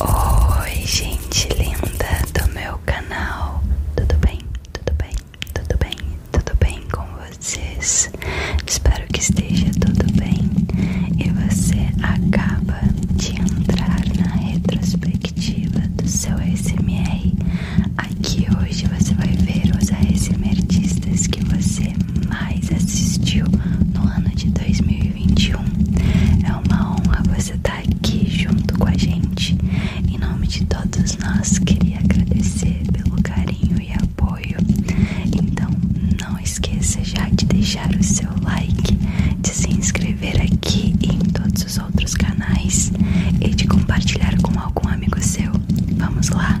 Oi, gente linda do meu canal. Tudo bem? Tudo bem? Tudo bem? Tudo bem com vocês? Espero que esteja tudo bem. E você acaba de entrar na retrospectiva do seu ASMR. Aqui hoje você vai ver os ASMRtistas que você mais assistiu no ano de 2020. 2021. É uma honra você estar tá aqui junto com a gente. Em nome de todos nós, queria agradecer pelo carinho e apoio. Então, não esqueça já de deixar o seu like, de se inscrever aqui e em todos os outros canais e de compartilhar com algum amigo seu. Vamos lá?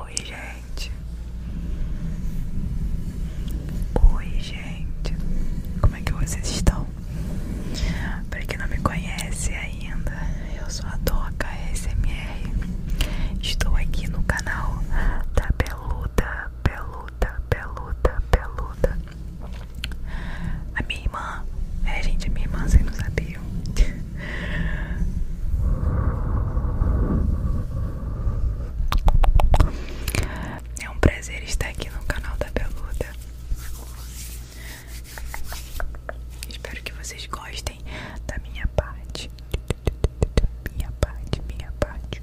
Oi, gente. Oi, gente. Como é que vocês estão? Para quem não me conhece ainda, eu sou a Doca SMR. Estou aqui no canal da Peluda, Peluda, Peluda, Peluda. A minha irmã, é gente, a minha irmã, você não sabiam é um prazer estar aqui no canal da Beluda. Espero que vocês gostem da minha parte. Minha parte, minha parte.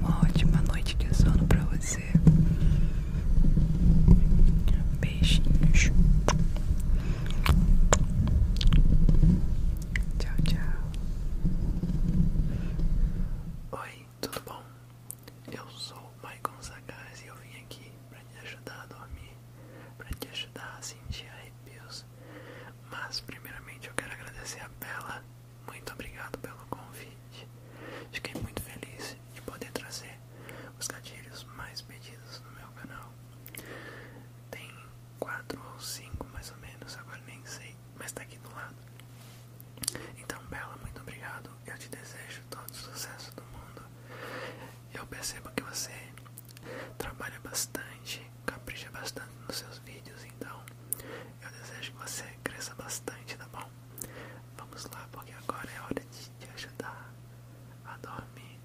Uma ótima noite de sono para você. Beijinhos. Tchau, tchau. Oi, tudo bom? Eu sou o Maicon Sagaz e eu vim aqui para te ajudar a dormir, para te ajudar a sentir arrepios. Mas, primeiramente, eu quero agradecer a Bela. Muito obrigado pelo convite. Fiquei muito feliz de poder trazer os gatilhos mais pedidos no meu canal. Tem 4 ou 5 mais ou menos, agora nem sei, mas tá aqui do lado. Então, Bela, muito obrigado. Eu te desejo todo o sucesso do mundo. Eu percebo que você trabalha bastante, capricha bastante nos seus vídeos, então eu desejo que você cresça bastante, tá bom? Vamos lá, porque agora é hora de te ajudar a dormir.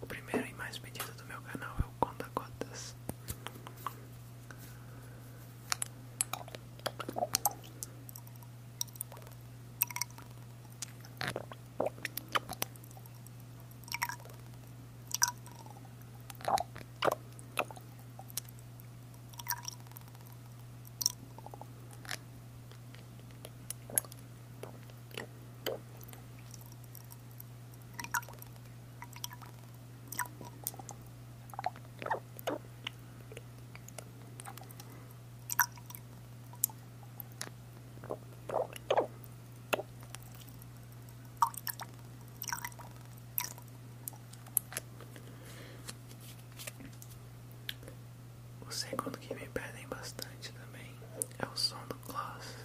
O primeiro e mais pedido do meu canal é o Conta Gotas. O segundo que me pedem bastante também é o som do gloss.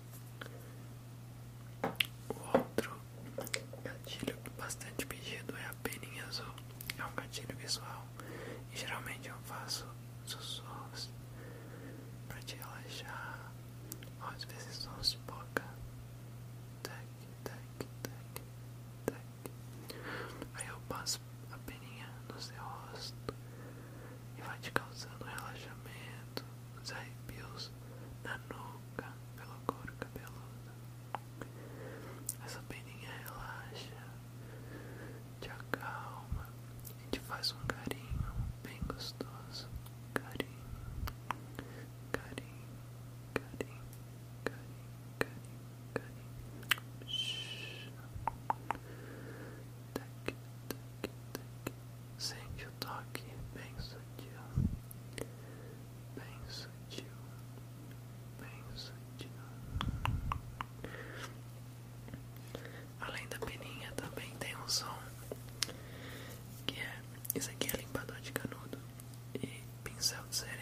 O outro gatilho bastante pedido é a peninha azul. É um gatilho visual e geralmente eu faço sussurros para te relaxar. Ou às vezes sons de boca. Tac, tac, tac, tac. Aí eu passo a peninha no seu rosto e vai te causando relaxamento, os arrepios na nuca, pela cor cabeluda Essa peninha relaxa, te acalma e te faz um carinho bem gostoso. Carinho, carinho, carinho, carinho, carinho, carinho tac, Sente o toque bem sutil, bem sutil, bem sutil. Além da peninha também tem um som que é, isso aqui é limpador de canudo e pincel de sereia.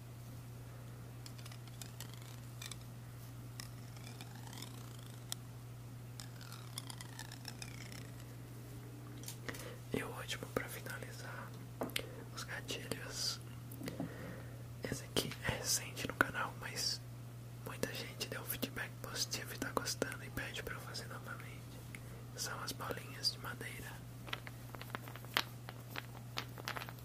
E o último para finalizar os gatilhos. Esse aqui é recente no canal, mas muita gente deu feedback positivo e tá gostando e pede para eu fazer novamente. São as bolinhas de madeira.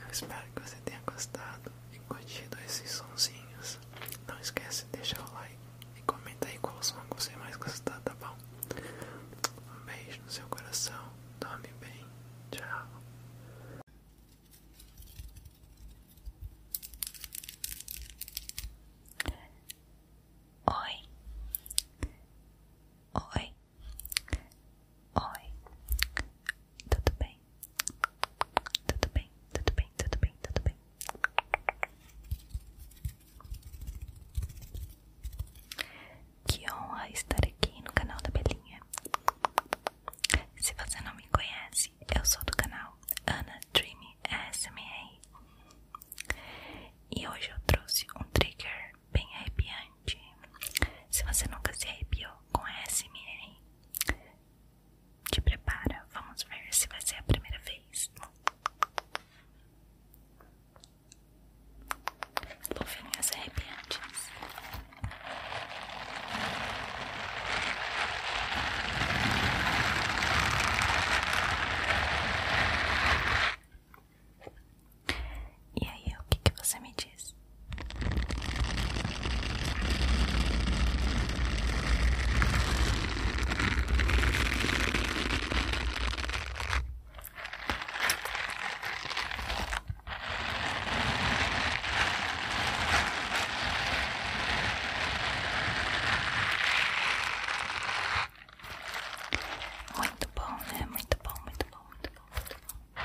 Eu espero que você tenha gostado e curtido esses sonsinhos. Não esqueça de deixar o like e comenta aí qual som que você mais gostou, tá bom? Um beijo no seu coração, dorme bem, tchau. Oi. Oi. Oi. Tudo bem? Tudo bem, tudo bem, tudo bem, tudo bem. Que honra estar aqui no canal da Belinha. Se você não me conhece, eu sou do canal Ana Dreamy ASMR e hoje eu trouxe um trigger bem arrepiante. Se você nunca se arrepiou com a SMR, te prepara, vamos ver se vai ser a primeira vez. Luvinhas arrepiantes. E aí, o que, você me diz? Muito bom, né? Muito bom, muito bom, muito bom, muito bom.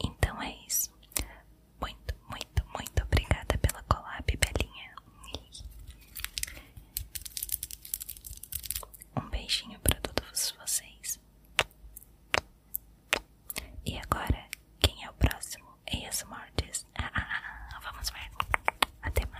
Então é isso. Muito, muito, muito obrigada pela colab Belinha. Um beijinho para todos vocês. E agora, quem é o próximo? Eias Mortis. Ah, ah, ah, ah, vamos ver. Até mais.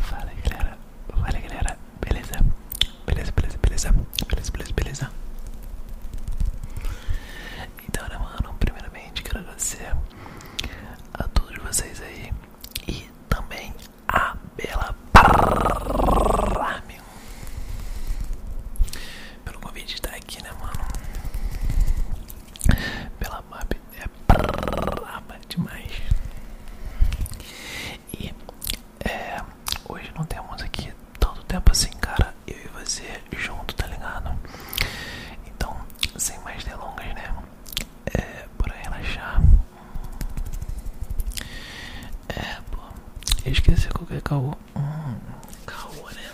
Fala galera, fala galera, beleza? Beleza, beleza, beleza, beleza, beleza, beleza. Então, né, mano, primeiramente quero agradecer a todos vocês aí e também a Bela Parra, pelo convite de estar tá aqui, né, mano? Pela map é braba demais. E é, hoje não temos aqui todo o tempo assim, cara. Eu e você junto, tá ligado? Então, sem mais delongas, né? É, bora relaxar. É, pô, eu esqueci qualquer caô. Hum, caô, né?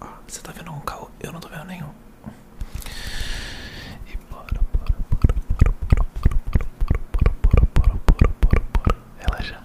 Ó, você tá vendo um caô? Eu não tô vendo nenhum. E bora, bora, bora, bora, bora, bora, bora, bora, bora, bora, bora, bora, relaxar.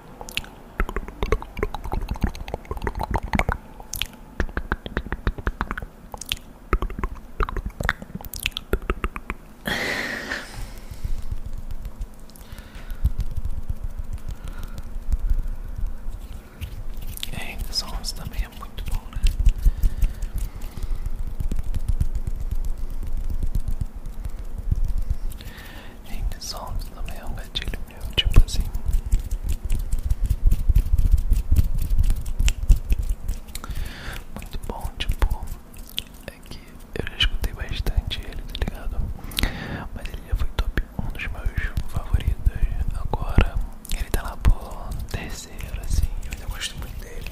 É, sons também é muito bom, né? em desontos também é um gatilho meu, tipo assim. Muito bom, tipo, é que eu já escutei bastante ele, tá ligado? Mas ele já foi top um dos meus favoritos. Agora ele tá lá por terceiro, assim, eu ainda gosto muito dele.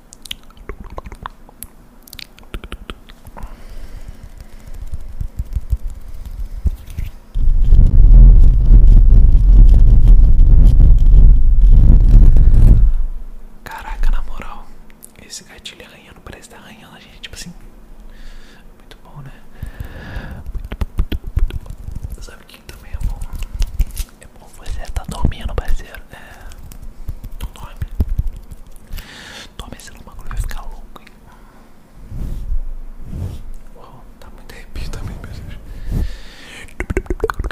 Caraca, na moral, esse gatilho arranhando parece estar tá arranhando gente, tipo assim. Muito bom, né? Muito, muito, muito, muito. Sabe que também é bom? É bom. Bom, você tá dormindo, parceiro. É. Não dorme. Dorme, senão o bagulho vai ficar louco, hein? tá muito arrepio também, meu Deus. Bom,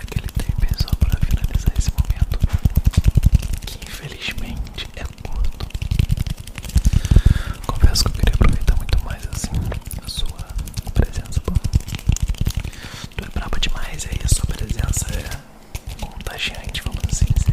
Aquele tempo é só para finalizar esse momento, que infelizmente é curto. Confesso que eu queria aproveitar muito mais assim a sua presença. Pô. Tu é braba demais, aí é a sua presença é contagiante, vamos assim dizer.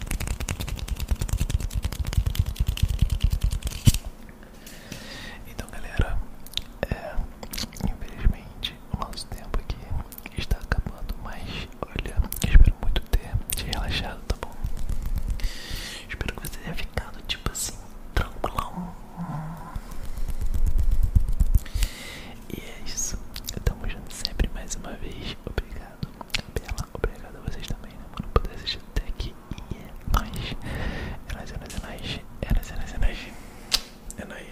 Então, galera, é, infelizmente o nosso tempo aqui está acabando, mas olha, espero muito ter te relaxado, tá bom? Espero que você tenha ficado tipo assim, tranquilão. E é isso, estamos juntos sempre mais uma vez. Obrigado Bela, obrigado a vocês também, né, mano, por ter assistido até aqui. E é nóis. É nóis, é nóis, é nóis. É nóis, é nóis, é nóis. É nóis.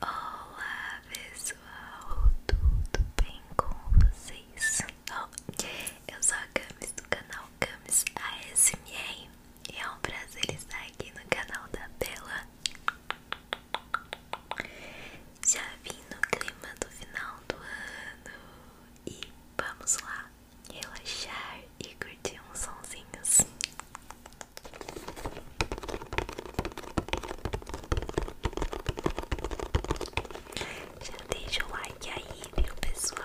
Olá, pessoal. Tudo bem com vocês? Oh, eu sou a Camis do canal Camis ASMR. E é um prazer estar aqui no canal da Bela já vim no clima do final do ano e vamos lá relaxar e curtir uns sonzinhos. Já deixa o like aí, viu, pessoal?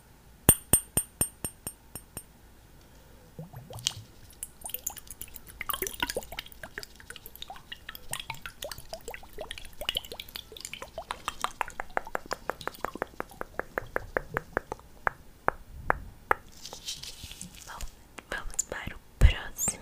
Bom, vamos para o próximo.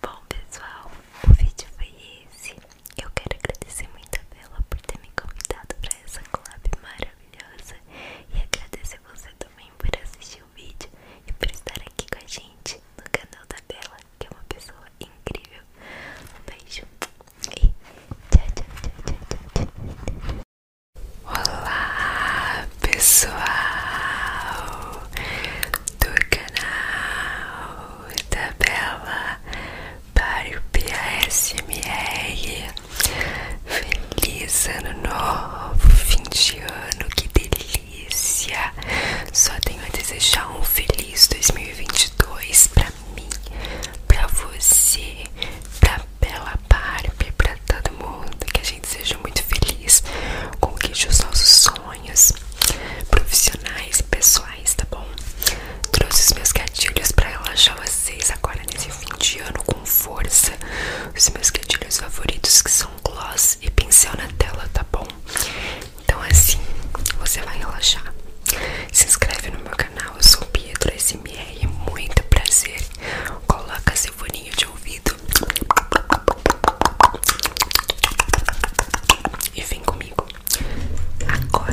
Bom pessoal, o vídeo foi esse. Eu quero agradecer muito a Bela por ter me convidado para essa collab maravilhosa e agradecer você também por assistir o vídeo e por estar aqui com a gente no canal da Bela que é uma pessoa incrível. Um beijo e tchau, tchau, tchau, tchau, tchau. Olá, pessoal do canal da Bela Barbie ASMR. Feliz ano novo, fim de ano, que delícia! delícia. Só tenho a desejar um feliz 2022 pra mim, pra você, pra Bela Barbie, pra todo mundo. Que a gente seja muito feliz, conquiste os nossos sonhos profissionais e pessoais, tá bom? Trouxe os meus gatilhos pra relaxar vocês agora nesse fim de ano com força. Os meus gatilhos favoritos que são gloss e pincel na tela, tá bom? Então assim você vai relaxar. Se inscreve no meu canal, eu sou Pietro SMR, muito prazer. Coloca seu foninho de ouvido e vem comigo. Agora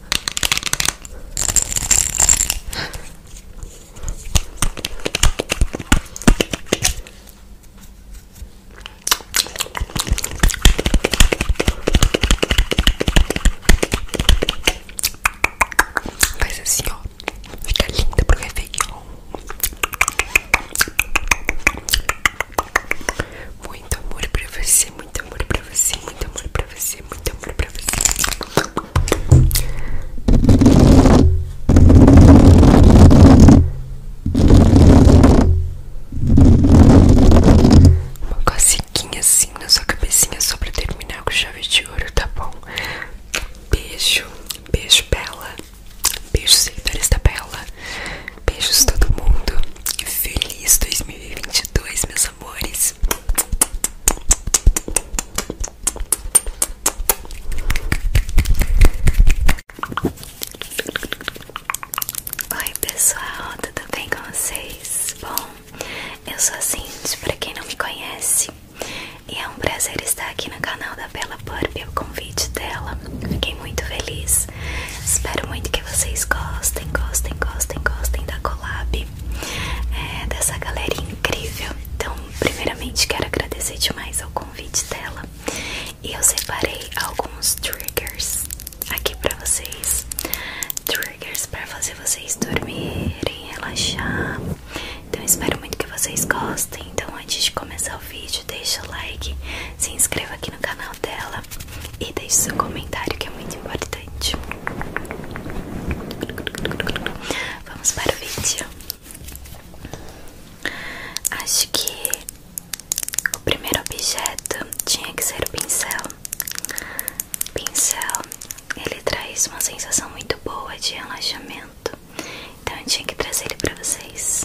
Faz assim, ó. Fica linda pro Réveillon. Muito amor pra você, muito amor pra você, muito amor pra você, muito amor pra você. Uma cosquinha assim na sua cabecinha só pra terminar com chave de ouro, tá bom? Beijo, beijo, Bela. Beijos, seguidores da Bela. Beijos, todo mundo. Feliz 2022, meus amores. Oi pessoal, tudo bem com vocês? Bom, eu sou a Cindy, Para quem não me conhece E é um prazer estar aqui no canal da Bela Purp, o convite dela Fiquei muito feliz, espero muito que que vocês gostem, gostem, gostem, gostem da collab é, dessa galera incrível. Então, primeiramente, quero agradecer demais ao convite dela. E eu separei alguns triggers aqui pra vocês. Triggers para fazer vocês dormirem, relaxar. Então, espero muito que vocês gostem. Então, antes de começar o vídeo, deixa o like, se inscreva aqui no canal dela e deixe seu comentário que é muito importante. Vamos para o vídeo. Acho que o primeiro objeto tinha que ser o pincel. pincel ele traz uma sensação muito boa de relaxamento, então eu tinha que trazer ele para vocês.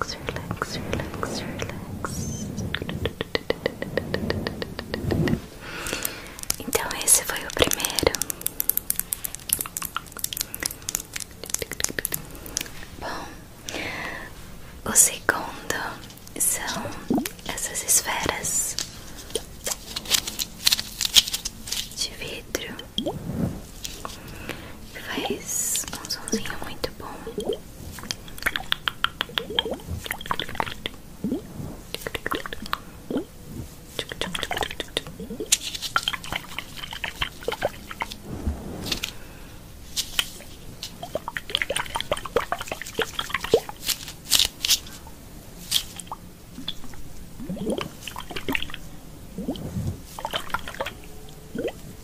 relax, relax, relax, Então esse foi o primeiro. Bom, o segundo são essas esferas de vidro. Faz um somzinho muito bom.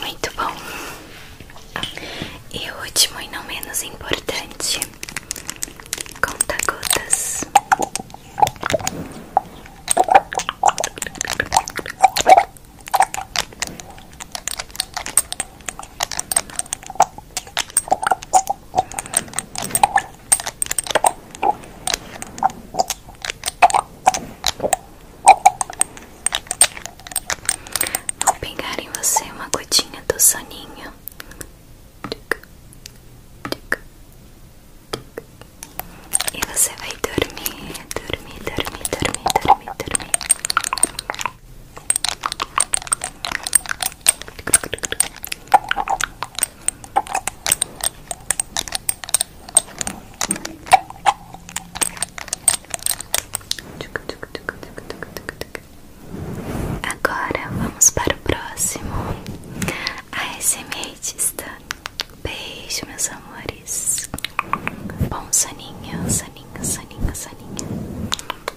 Muito bom. E o último e não menos importante, conta gotas. Vou pegar em você uma gotinha do soninho. E você vai dormir, dormir, dormir, dormir, dormir, dormir. Agora vamos para o próximo. A SMRtista. Beijo, meus amores. Bom soninho, soninha soninha soninha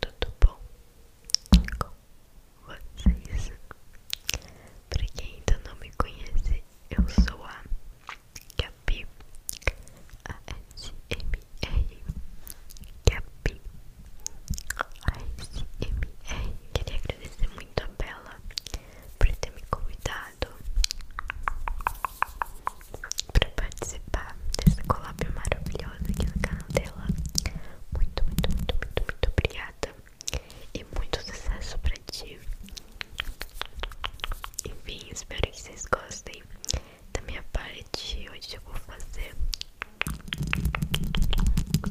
tudo bom com vocês? para quem ainda não me conhece, eu sou a Gabi ASMR Gabi ASMR Queria agradecer muito a Bela por ter me convidado para participar dessa collab maravilhosa aqui no canal dela. Muito, muito, muito, muito, muito obrigada. E muito sucesso pra ti. Enfim, espero que vocês gostem da minha parte. Hoje eu vou fazer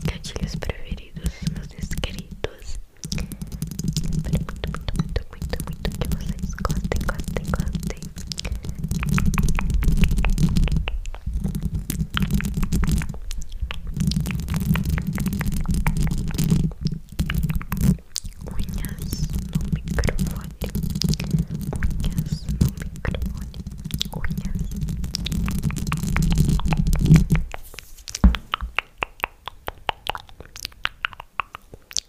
gatilhos preferidos dos meus inscritos. Espero muito, muito, muito, muito, muito que vocês gostem, gostem, gostem. Lovely. Unhas no microfone. Unhas no microfone. Unhas.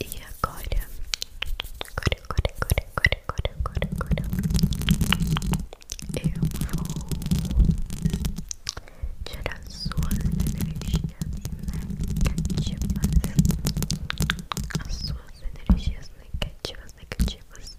E agora, agora, agora, agora, agora, agora, agora, agora, eu vou tirar suas energias negativas, as suas energias negativas, negativas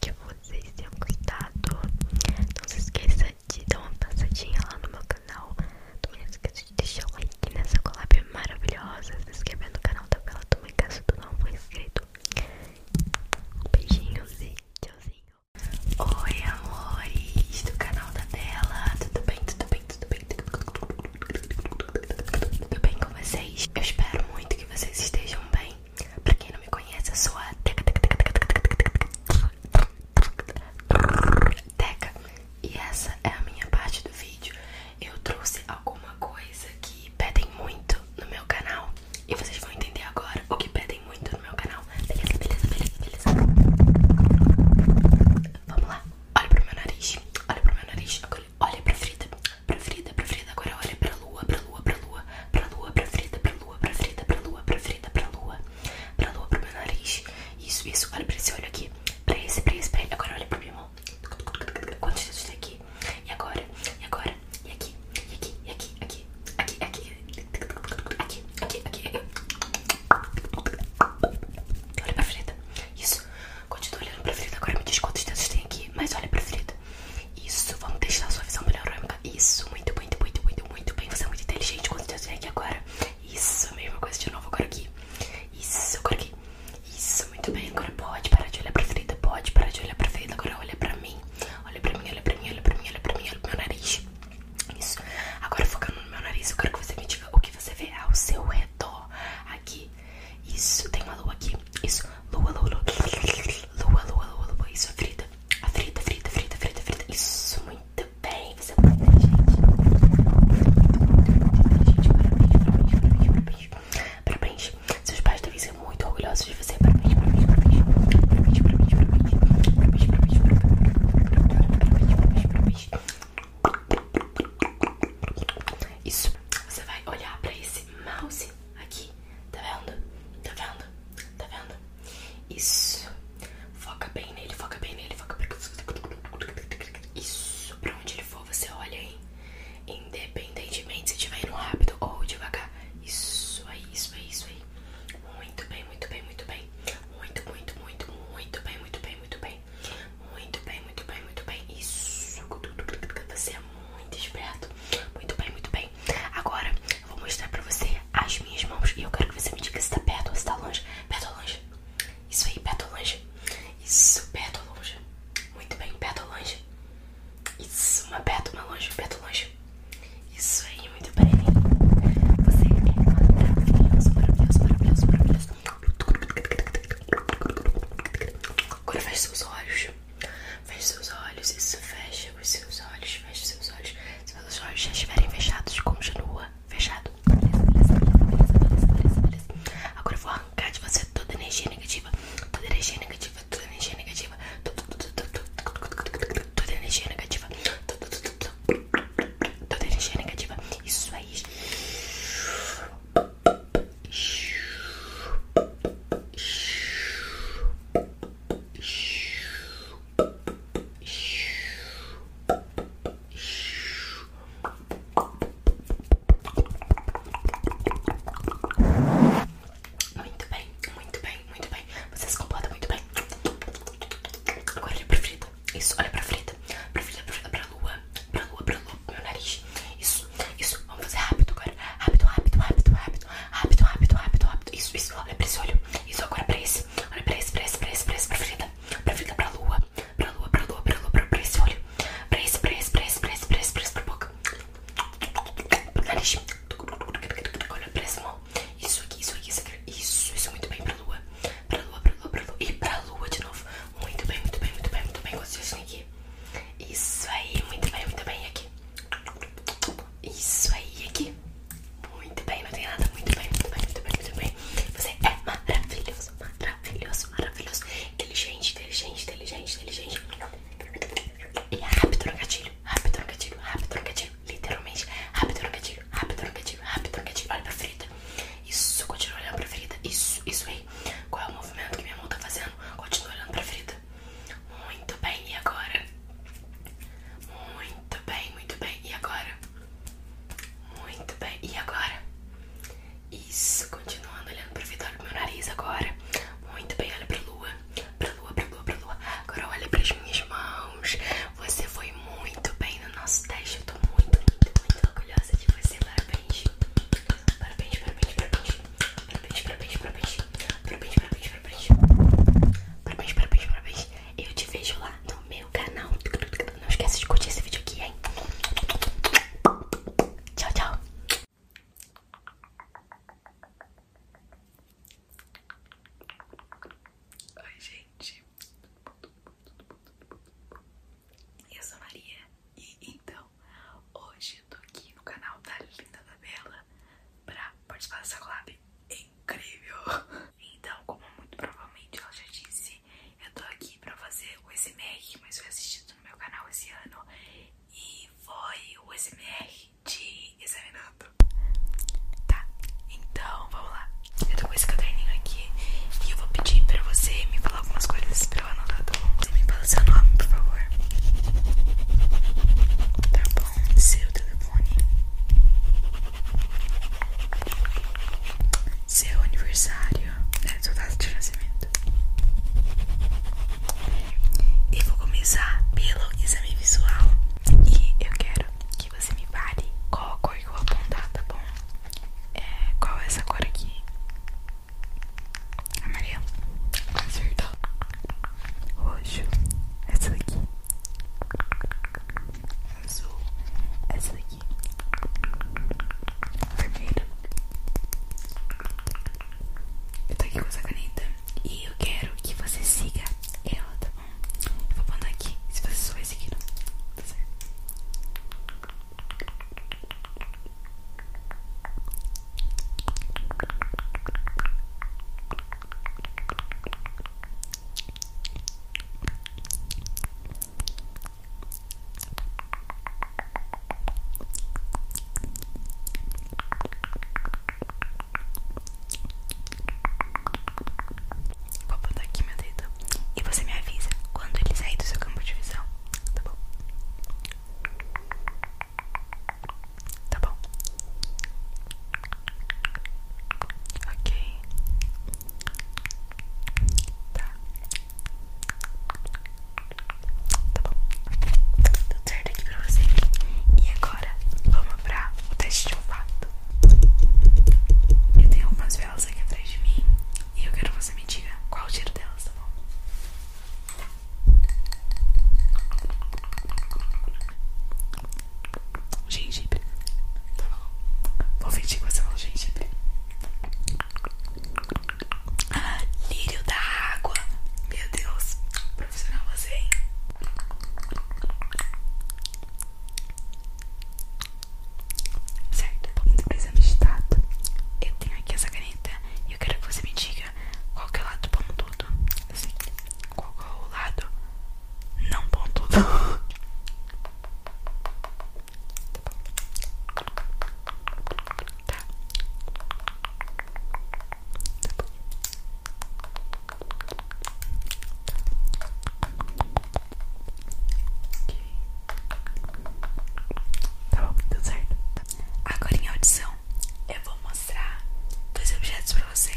que vocês tenham gostado. Não se esqueça de dar uma passadinha lá no meu canal. Também não se esqueça de deixar o like nessa collab maravilhosa. Se inscrever no canal da Bela Tuma caso tu não for inscrito. Beijinhos e tchauzinho. Oi, amores do canal da Bela. Tudo bem, tudo bem, tudo bem? Tudo bem com vocês? Eu espero muito que vocês estejam bem. Pra quem não me conhece, eu sou a Teca Teca Teca Teca Teca Teca Teca E essa é a minha parte do vídeo Eu trouxe alguma coisa que pedem muito no meu canal E vocês vão entender agora o que pedem muito no meu canal Beleza, beleza, beleza, beleza Vamos lá Olha pro meu nariz, olha pro meu nariz Agora olha pra frita pra Frida, pra Frida, agora é olha para a é lua, para a lua, para a lua, pra lua, pra para a lua, pra para a lua, pra para a lua, para a lua, para o meu nariz. Isso, isso, olha para esse olho aqui, para esse, para esse, pra ele. Agora olha para pra minha mão. Quantos dedos tem aqui? E agora, e agora, e aqui, e aqui, e aqui, aqui, aqui, aqui, aqui, aqui, aqui, aqui. Olha pra Frida. Isso. Continua olhando pra Frida. Agora me diz quantos dedos tem aqui. Mas olha pra Frida. Isso, vamos testar sua visão panorâmica. Isso, muito, muito, muito, muito, muito bem. Você é muito inteligente quando eu aqui agora. Isso, mesma coisa de novo, agora aqui. Isso, agora aqui. Isso, muito bem. Agora pode parar de olhar pra frente, pode parar de olhar pra frente. Agora olha pra mim. Olha pra mim, olha pra mim, olha pra mim, olha pra mim, olha pro meu nariz. Isso. Agora focando no meu nariz, eu quero que você me diga o que você vê ao seu redor. Aqui, isso, tem uma lua aqui. Isso, lua, lua, lua. Lua, lua, lua, lua. Isso, a frita. A frita, frita, frita, frita, frita. Isso, muito bem. Você é muito inteligente. Muito, muito inteligente. Parabéns, parabéns, parabéns. Parabéns. Seus pais devem ser muito orgulhosos de você. Parabéns, parabéns, parabéns. Parabéns, parabéns, parabéns. Parabéns, parabéns, parabéns. Parabéns, parabéns, parabéns. Isso. Você vai olhar pra esse mouse aqui Tá vendo? Tá vendo? Tá vendo? Isso. Foca bem nele, foca bem nele, foca bem. Isso. Pra onde ele for, você olha, hein? Independentemente se estiver indo rápido ou devagar. Isso aí, é isso aí, é isso aí. Muito bem, muito bem, muito bem. Muito, muito, muito, muito bem, muito bem, muito bem. Muito bem, muito bem, muito bem. Isso. Você é muito esperto. Muito bem, muito bem. Agora eu vou mostrar pra você as minhas mãos e eu quero que você me diga se tá perto ou se tá longe. Perto ou longe? Isso aí, perto ou longe? Isso, perto ou longe? Muito bem, perto ou longe? Isso, uma perto, uma longe, perto ou longe? Isso aí, muito bem. Você é maravilhoso, maravilhoso, maravilhoso, maravilhoso. Agora fecha seus olhos. Feche seus olhos, isso, fecha os seus olhos, feche os seus olhos. Se os olhos já estiverem fechados, continua fechado. Beleza, beleza, beleza, beleza, beleza. Agora eu vou arrancar de você toda energia negativa, toda energia negativa, toda energia negativa, toda energia negativa, toda energia negativa. Isso aí. Muito bem, muito bem, muito bem. Você se comporta muito bem. Agora olha pra frita Isso, olha pra frita Pra frente, pra, frente, pra lua. Pra lua, pra lua, meu nariz. Isso. Isso, vamos fazer rápido agora. Rápido, rápido, rápido, rápido. Rápido, rápido, rápido, rápido. Isso, isso, olha pra esse olho. Isso agora pra esse. Olha pra esse, pra esse, pra esse, pra esse, pra frita. Pra lua. Pra lua, pra lua, pra lua, pra, pra esse olho. Pra esse, pra esse, pra esse, pra esse, pra esse, pra esse, pra boca. Pra nariz. Olha pra esse mão. Isso aqui, isso aqui, isso Isso, muito bem pra lua. Pra lua, pra lua, pra lua. E pra lua de novo. Muito bem, muito bem, muito bem, muito bem. Gostei assim aqui. Isso aí, muito bem, muito bem aqui. Isso aí aqui. Muito bem, não tem nada. Muito bem, muito bem, muito bem, muito bem. Você é maravilhoso, maravilhoso, maravilhoso. Inteligente, inteligente, inteligente, inteligente. E rápido no gatilho, rápido no gatilho, rápido no gatilho. Literalmente, rápido no gatilho, rápido no gatilho, rápido no gatilho. Olha pra ferida. Isso, continua olhando pra ferida. Isso, isso aí. Qual é o movimento que minha mão tá fazendo? Continua olhando pra ferida. Muito bem, e agora? Muito bem, muito bem, e agora? Muito bem, e agora? Isso, continuando olhando para pro Vitória pro meu nariz agora. Muito bem, olha para a lua. para a lua, para a lua, para a lua. Agora olha para as minhas mãos. Você foi muito bem no nosso teste. Eu tô muito, muito, muito orgulhosa de você. Parabéns. Parabéns, parabéns, parabéns. Parabéns, parabéns, parabéns. Parabéns, parabéns, parabéns. Parabéns, parabéns, parabéns. Eu te vejo lá no meu canal. Não esqueça de curtir esse vídeo aqui, hein? Tchau, tchau. Oi, gente. Eu sou Maria. então, hoje eu tô aqui no canal da Linda Tabela Bela pra participar dessa collab incrível. Então, como muito provavelmente ela já disse, eu tô aqui pra fazer o SMR, mas foi assistido no meu canal esse ano e foi o SMR de examinando. Tá, então vamos lá. Eu tô com esse caderninho aqui e eu vou pedir pra você me falar algumas coisas Tá, tá, tá você me fala seu nome, por favor. Tá bom. Seu telefone. Seu aniversário. É, sua data de nascimento. E vou começar pelo exame visual. E eu quero que você me fale qual a cor que eu vou apontar, tá bom? É, qual é essa cor aqui? Amarelo. Acertou. Roxo. Essa daqui. Azul. Essa daqui. Vermelho. Eu tô aqui com essa caneta. E eu quero que você siga ela, tá bom? Eu vou mandar aqui. Se você só vai seguindo. Tá certo. Vou botar aqui meu dedo e você me avisa quando ele sair do seu campo de visão, tá bom? Tá bom? Ok. Tá. Tá bom. Tudo certo aqui pra você. E agora, vamos pra o teste de olfato. Eu tenho algumas velas aqui atrás de mim. E eu quero que você me diga qual o cheiro delas, tá bom? Gengibre. Tá bom. Vou fingir que você falou gengibre. Ah, lírio da água. Meu Deus. Profissional você, hein? Certo. Indo pro exame de tato. Eu tenho aqui essa caneta e eu quero que você me diga qualquer qual que é o lado pontudo? Assim, qual que é o lado não pontudo? tá. Tá bom, tá certo. Agora em audição, eu vou mostrar dois objetos pra você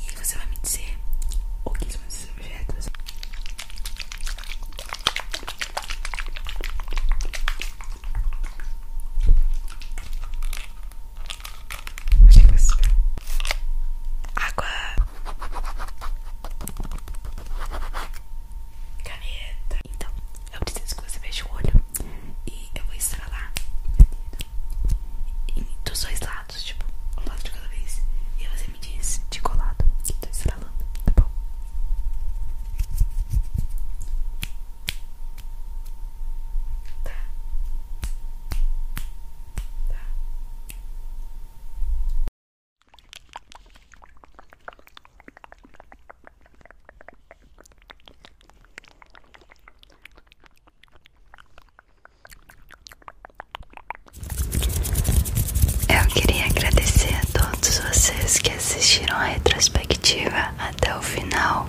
e você vai me dizer o que são esses objetos. Achei que você... Água. Caneta. Então, eu preciso que você veja o olho. E eu vou estralar meu dos dois lados, tipo, um lado de cada vez. E você me diz de qual lado que tô tá estralando, tá bom? Tá. tá. Eu queria agradecer a todos vocês que assistiram a retrospectiva até o final.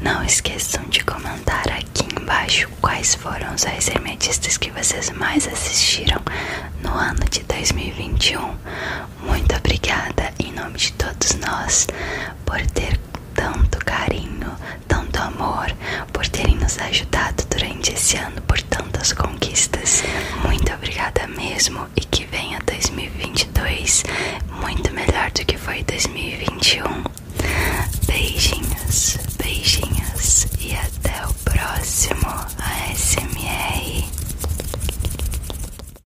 Não esqueçam de comentar aqui embaixo quais foram os reis remetistas que vocês mais assistiram no ano de 2021. Muito obrigada em nome de todos nós por ter tanto carinho, tanto amor, por terem nos ajudado durante esse ano por tantas conquistas. Muito obrigada mesmo e que venha 2022 muito melhor do que foi 2021. Beijinhos, beijinhos e até o próximo ASMR.